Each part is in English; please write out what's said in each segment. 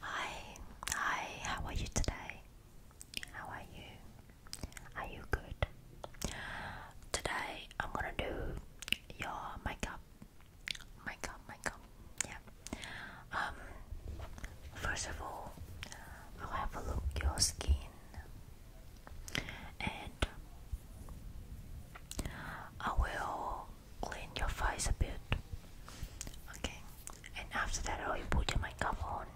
Hi, hi, how are you today? How are you? Are you good? Today I'm gonna do your makeup. Makeup, makeup, yeah. Um first of all I'll have a look your skin and I will clean your face a bit. Okay, and after that, I oh, will put your makeup on.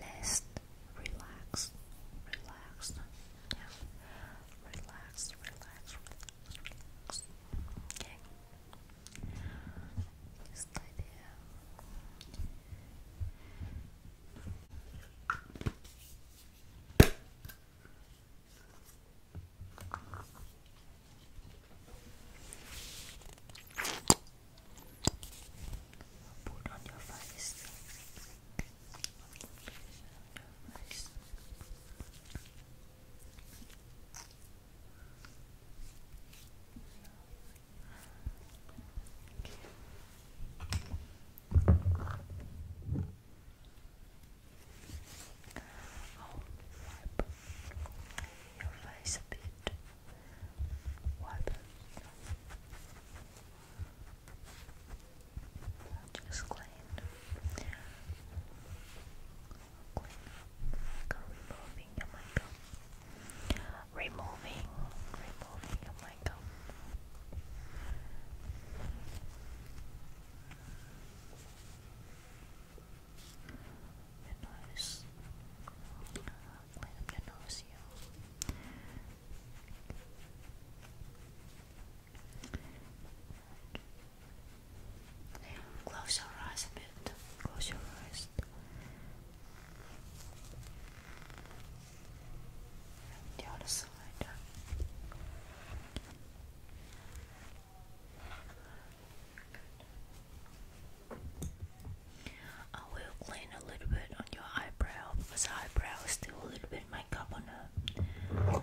Let's relax, relax, relax, relax, relax, Okay, just like there. Put on your face. Nice. Okay. I'll wipe your face a bit. Wipe Just clean. Clean. Like removing your makeup. Removing. Removing your makeup. Close your eyes a bit. Close your eyes. the other side. I will clean a little bit on your eyebrow because the eyebrow still a little bit makeup on her. Eyebrow.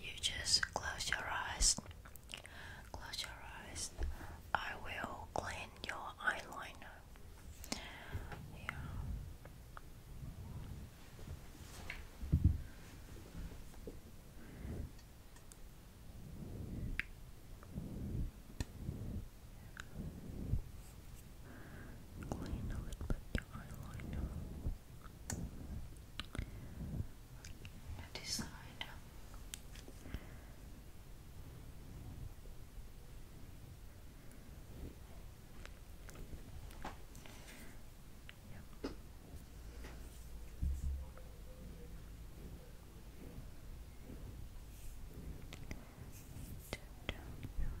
you just close your eyes. Close your eyes. I will clean your eyeliner. Yeah. Clean a little bit your eyeliner this side. Yep. Down, down, down.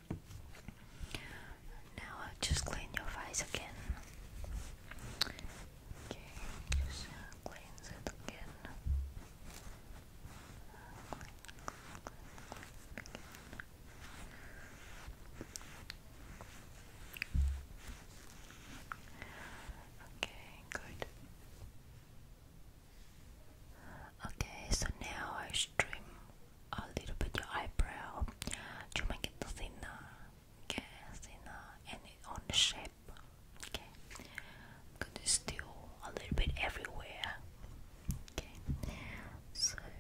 Now i uh, just clean your face again. Okay, just uh, it again. Uh, okay, good. Okay, so now I stream a little bit your eyebrow to make it thinner, okay, thinner, and on the shape, okay. I'm a little bit everywhere, okay. So. Okay.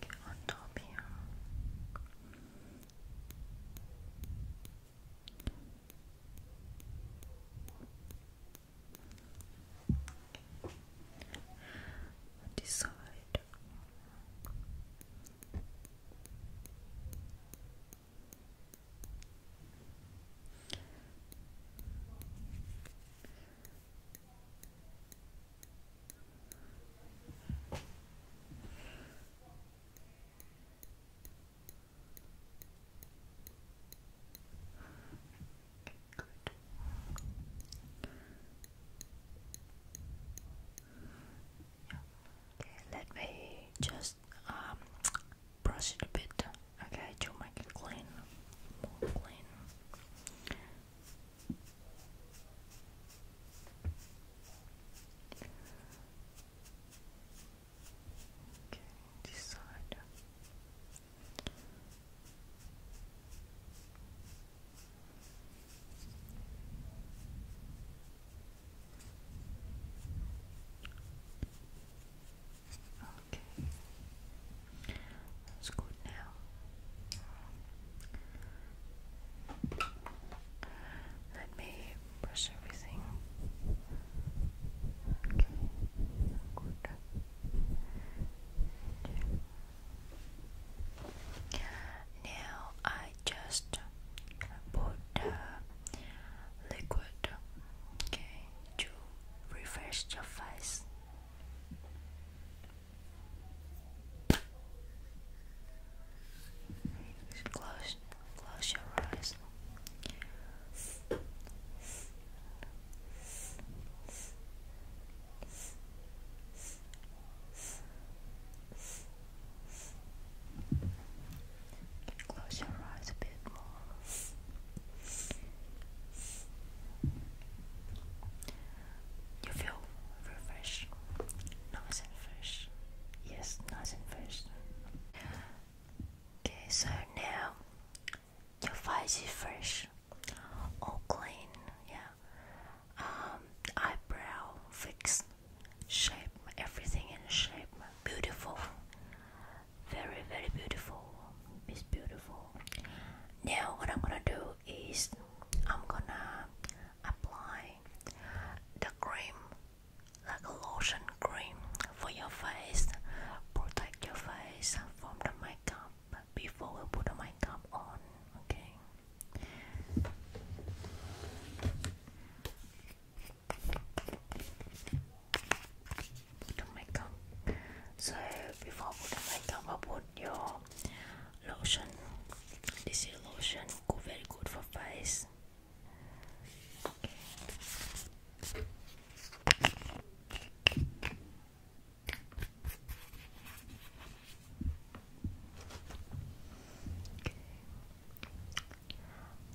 Get on top here. On Okay, let me just um, brush it a bit, okay, to make it clean, more clean. Okay, this side. Okay. That's good now. Let me brush everything. Okay. Good. Now I just put uh, liquid. Okay to refresh your face. Close, close your eyes. Close your eyes a bit more. You feel refreshed, nice and fresh. Yes, nice and fresh. Okay, so now your face is fresh, all clean. Yeah, um, eyebrow fixed, shape, everything in shape, beautiful very very beautiful it's beautiful now what i'm gonna do is i'm gonna apply the cream like a lotion cream for your face protect your face from the makeup before we put the makeup on okay to makeup. So before putting makeup, I put your lotion. This is lotion, go very good for face.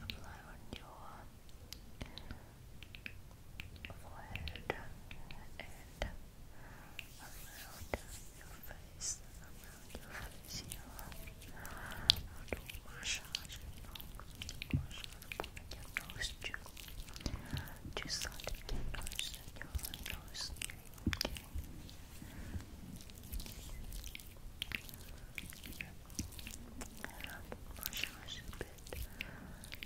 Apply on your forehead and around your face, around your face here. I'll do massage, you know, massage your nose too. Just on your nose, your massage a bit,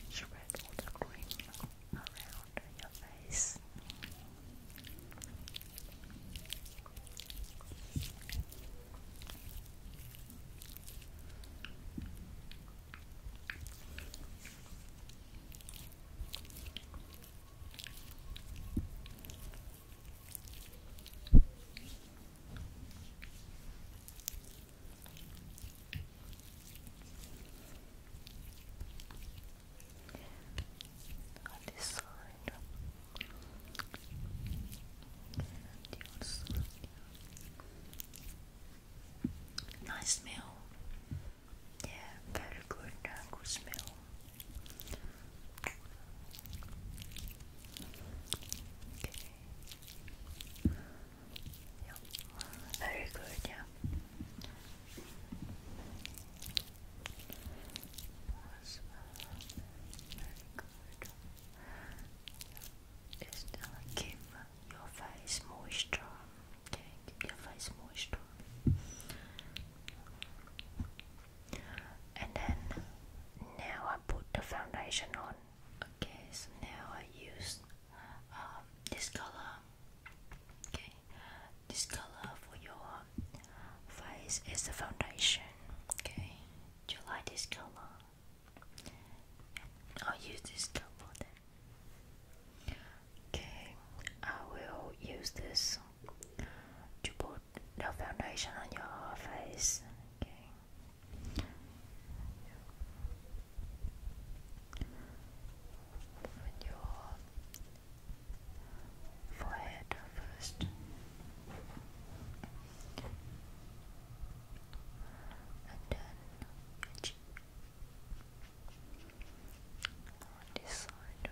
spread all the cream around your face. On this side, and Nice smell. Yeah, very good, uh, good smell. Okay. Yep. Very good, yeah. very good. Just uh, keep your face moisture. Okay, your face moisture and then now I put the foundation on okay so now I use um, this color okay this color for your face is the foundation okay do you like this color I'll use this color then okay I will use this to put no foundation on your face. Okay. With your forehead first. And then this side.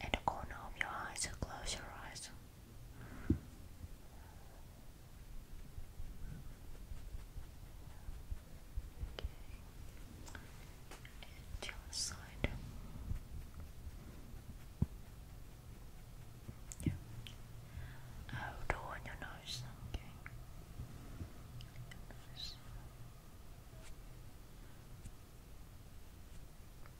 at the corner of your eyes, close your eyes. Okay. And your side. Yeah. Oh, on your nose. Okay.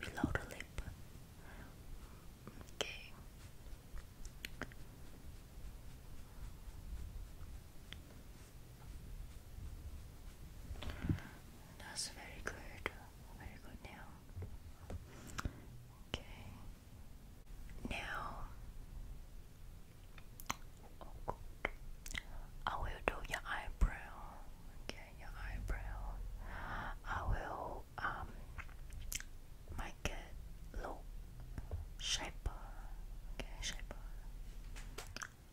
below the lip. Okay. That's very good. Very good now. Okay. Now, oh, I will do your eyebrow. Okay your eyebrows. I will um make it look shaper. Okay, shaper.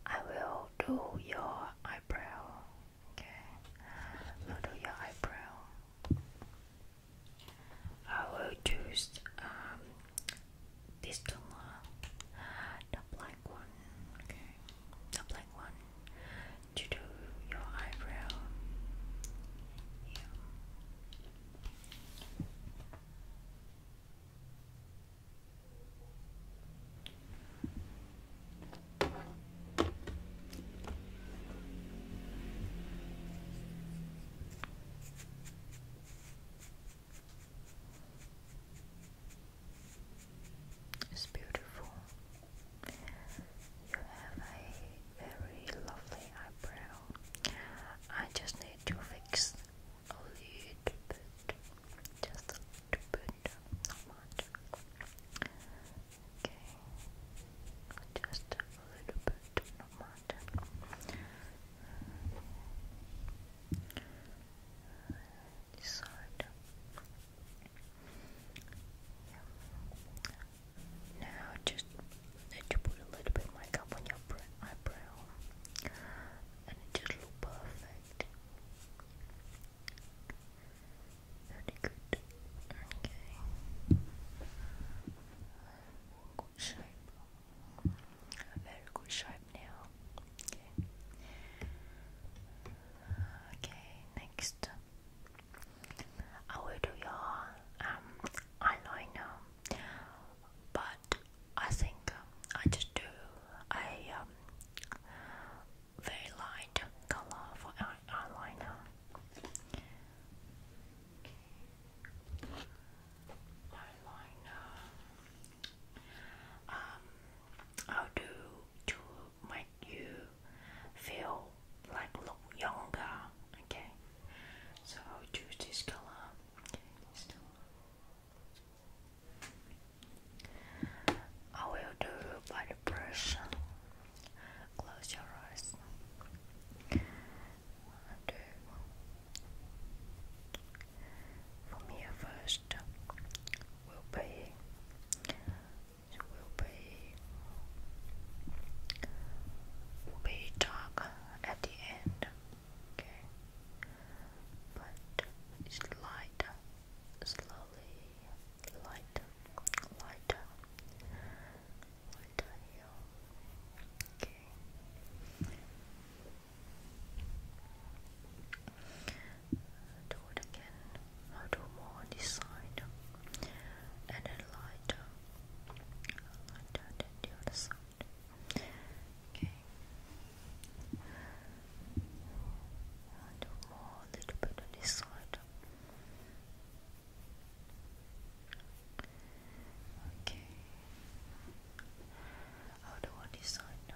I will do your eyebrow. Okay, I'll do your eyebrow. I will choose um this toner, the black one. Okay the black one, to do your eyebrow. It's beautiful. You have a very lovely eyebrow. I just need to fix a little bit. Just a little bit, not much. Okay. Just a little bit, not much disorder. Yeah. Now just need to put a little bit makeup on your eyebrow and it just look perfect. Very good. Okay. Good shape. very good shape now. Okay. Okay, next. I will do your um, eyeliner, but I think uh, I just do a um, very light color for eyeliner. Eyeliner. Um, I'll do two make you feel like look younger. Okay, so choose this color. I will do by the brush. Close your eyes. One, two. From here first will be it will be will be dark at the end. Okay, but it's light, slowly light, light, light here. Okay do it again, I'll do more on this side and then lighter, lighter than the other side. Okay, I'll do more a little bit on this side. Okay, I'll do on this side now.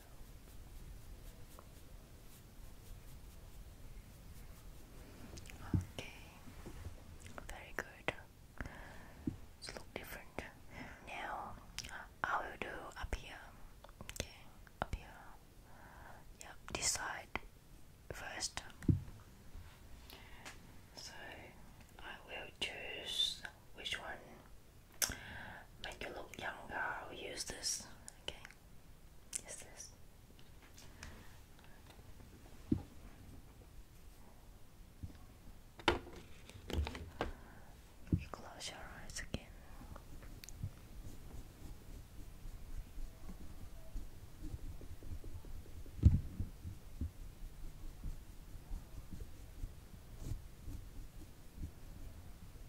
Okay, very good. look different. Now I will do up here. Okay, up Yep, this first. So I will choose which one make you look younger. I will use this. Okay. Is this? close your eyes again.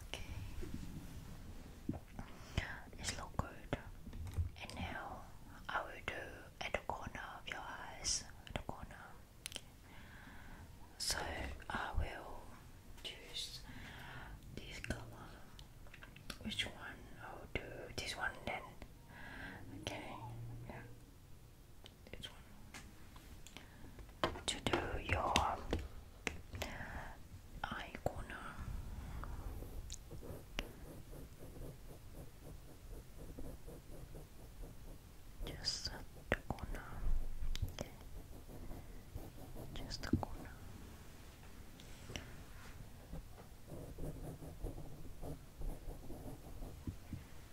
Okay, it's look good. And now I will do at the corner of your eyes, at the corner. So I will choose this color. Which one? I'll do this one then. Okay, yeah to do your eye corner. Just the corner. Okay. Just the corner.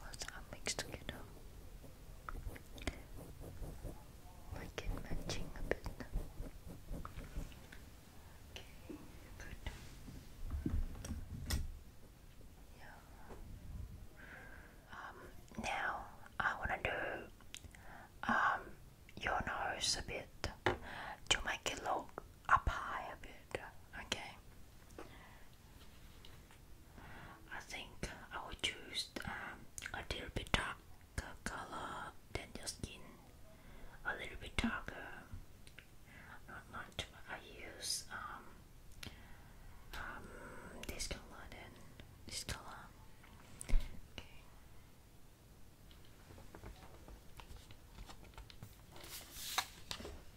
was are mixed together like it matching a bit okay, good yeah um, now I wanna do um, your nose a bit to make it look up high a bit okay I think I would choose um, a little bit darker color than your skin. A little bit darker, not much. I use um, um, this color then this color. Okay.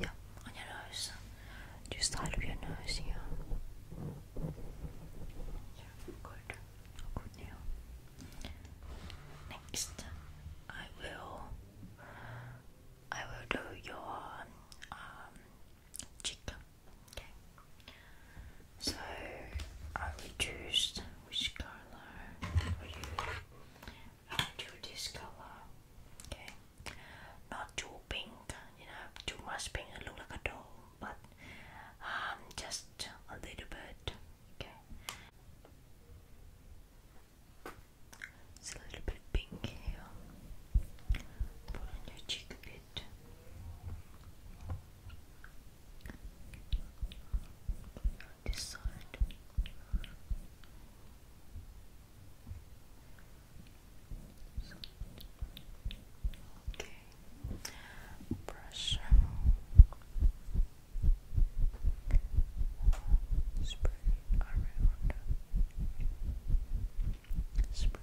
Yeah, on your nose. Just side of your nose here. Yeah, good. Good Next, I will. I will do your um, cheek. Okay. So I will choose which color I'll do this color. Okay not too pink, you know, too much pink and look like a doll, but um, just a little bit, okay. It's a little bit pink here. Put on your cheek a bit. This side. Okay. Brush. Spread around. Spread.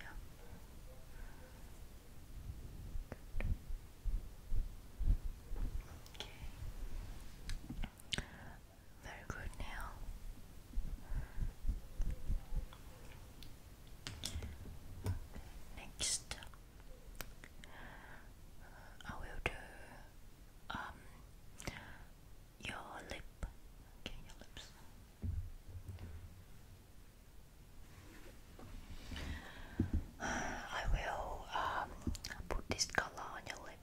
Yeah. Okay. Very good now. Next, uh, I will do um, your lip. Okay, your lips. I will um, put this color on your lip.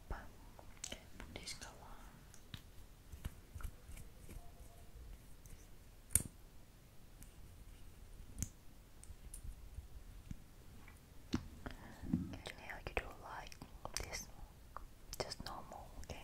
now you do like this just normal, okay?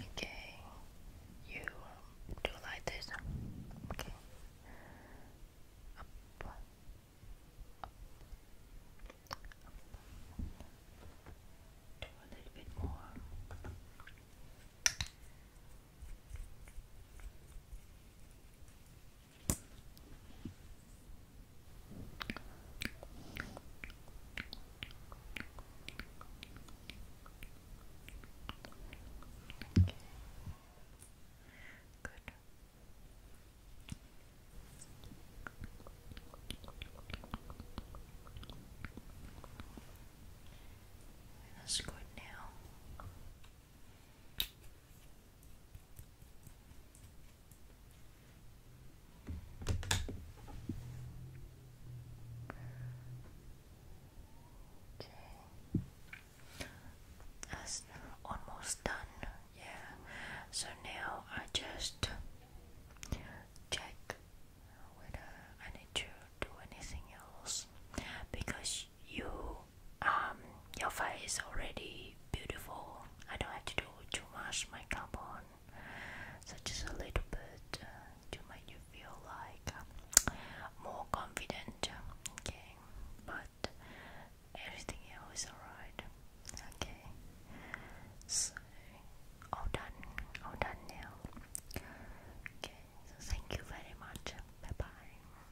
Okay, you do like this. Okay, do a little bit more. Okay. Good. That's good now. Okay. That's almost done. Yeah. So now I just check whether I need to do anything else because you um your face is already beautiful. I don't have to do too much makeup on, so just a little bit uh, to make you feel like um, more confident. Okay, but everything else is alright. Okay, so all done, all done now. Okay, so thank you very much. Bye bye.